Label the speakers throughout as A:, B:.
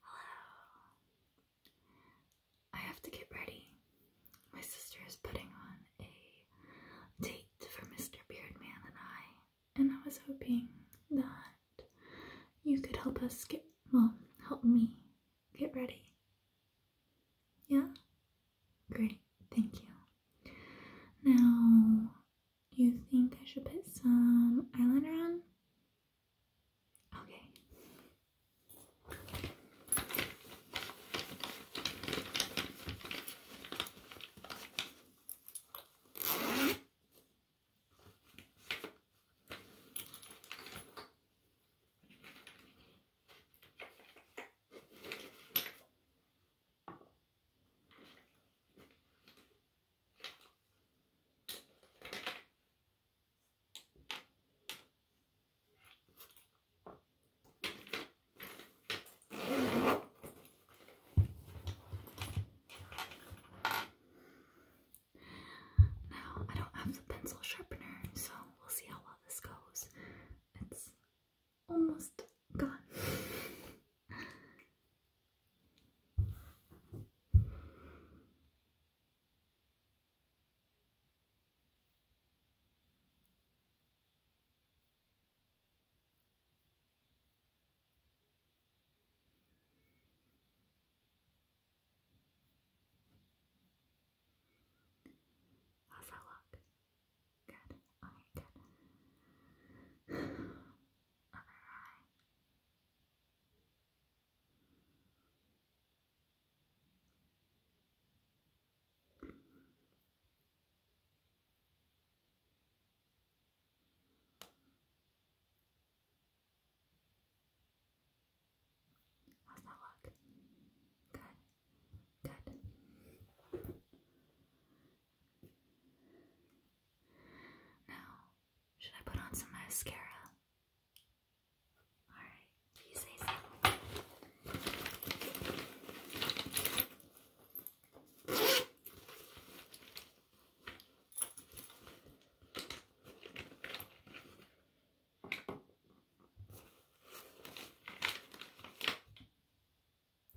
A: Hello. I have to get ready. My sister is putting on a date for Mr. Beardman and I, and I was hoping that you could help us get, well, help me get ready. Yeah? Great, thank you. Now, do You think I should put some eyeliner on? Okay. Now, I don't have the pencil sharpener, so we'll see how well this goes. It's almost gone. Have a look. Good. Okay, good. Other eye. How's that look? Good. Good. Now, should I put on some mascara? Alright, you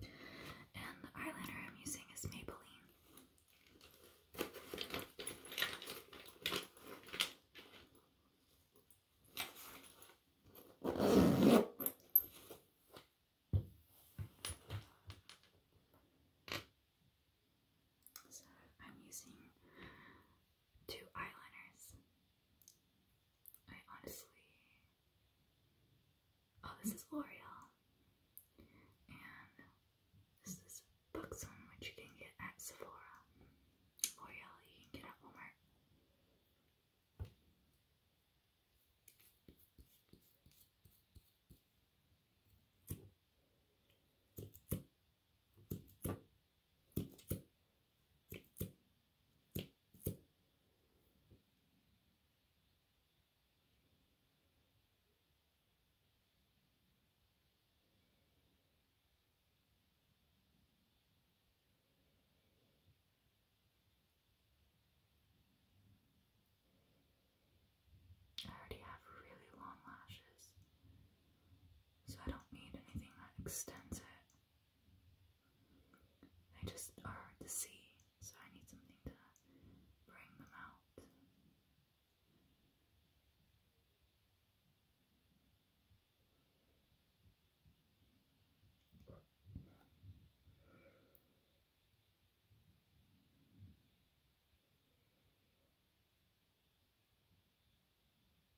A: and the eyeliner I'm using is Maybelline. So I'm using two eyeliners. I honestly Oh, this is L'Oreal. And this is Buxom, which you can get at Sephora. L'Oreal, you can get at Walmart. I already have really long lashes, so I don't need anything that extends it. They just are at the so I need something to bring them out.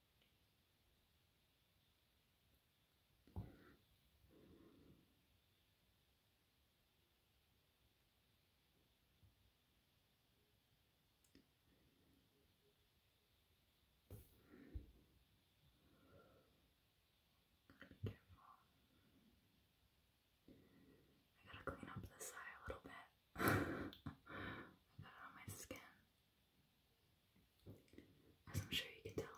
A: Gotta I gotta clean up this eye a little bit put it on my skin. As I'm sure you can tell.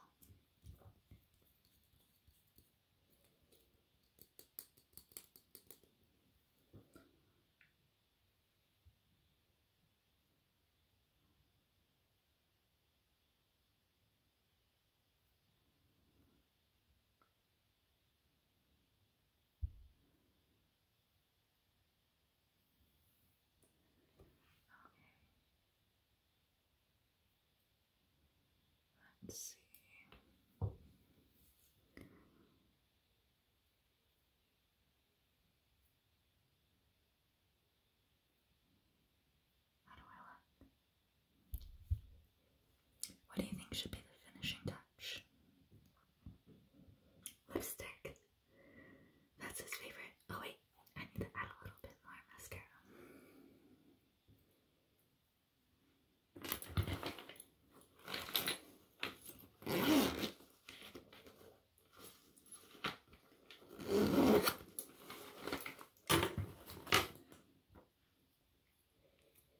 A: Let's see. What do you think should be the finishing touch? Lipstick. That's his favorite. Oh wait, I need to add a little bit more mascara.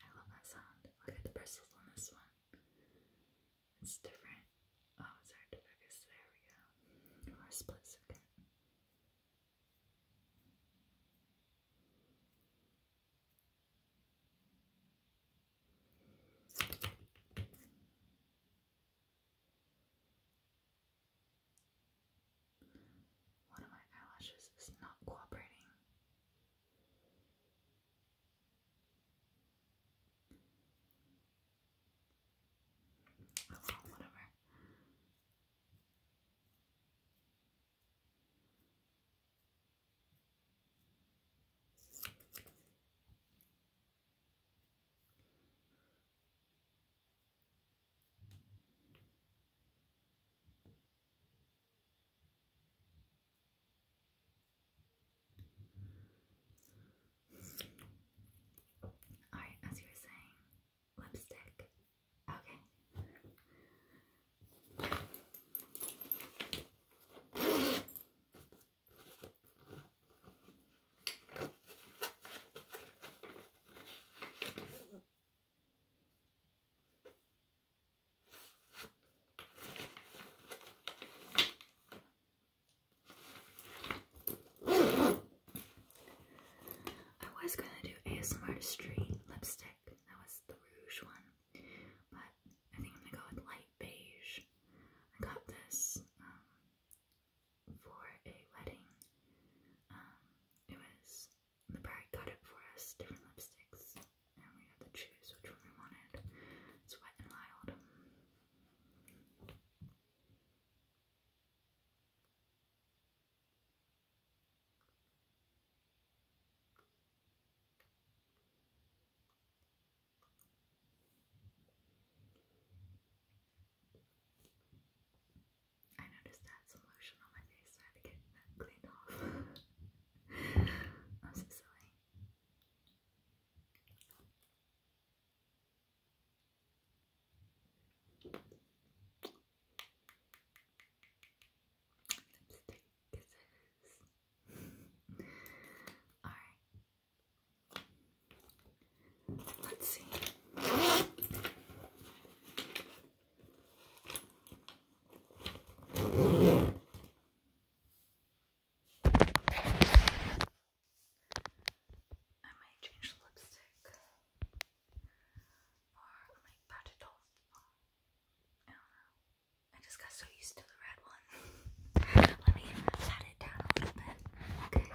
A: I love that sound. Look at the bristles on this one. It's different. Oh, it's hard to focus. There we go. For a split One of my eyelashes is not cooperating. Okay, whatever. Alright, as you were saying, lipstick. Okay. I was gonna do ASMR Street lipstick. That was the rouge one, but I think I'm gonna go with light beige. I got this um, for a wedding. Um, it was the bride got it for us, different lipsticks, and we had to choose which one we wanted. It's Wet and Wild. I noticed I some lotion on my face, so I had to get that cleaned off. I'm so silly. Lipstick kisses. Alright. Let's see. I might change the lipstick, or I might pat it off. I don't know. I just got so used to the red one. Let me pat it down a little bit. Okay.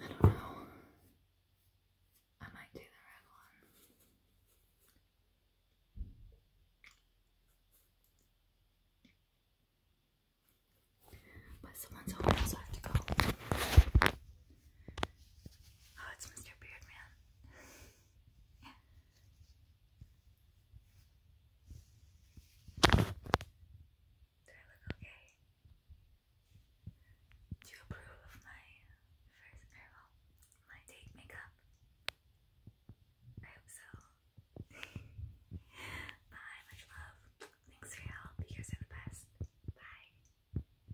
A: I don't know. I might do the red one. But someone's home, so I have to go. Oh, it's Mr. Beardman. Do I look okay? Do you approve of my first or er, my date makeup? I hope so. Bye, much love. Thanks for your help. You guys the best. Bye.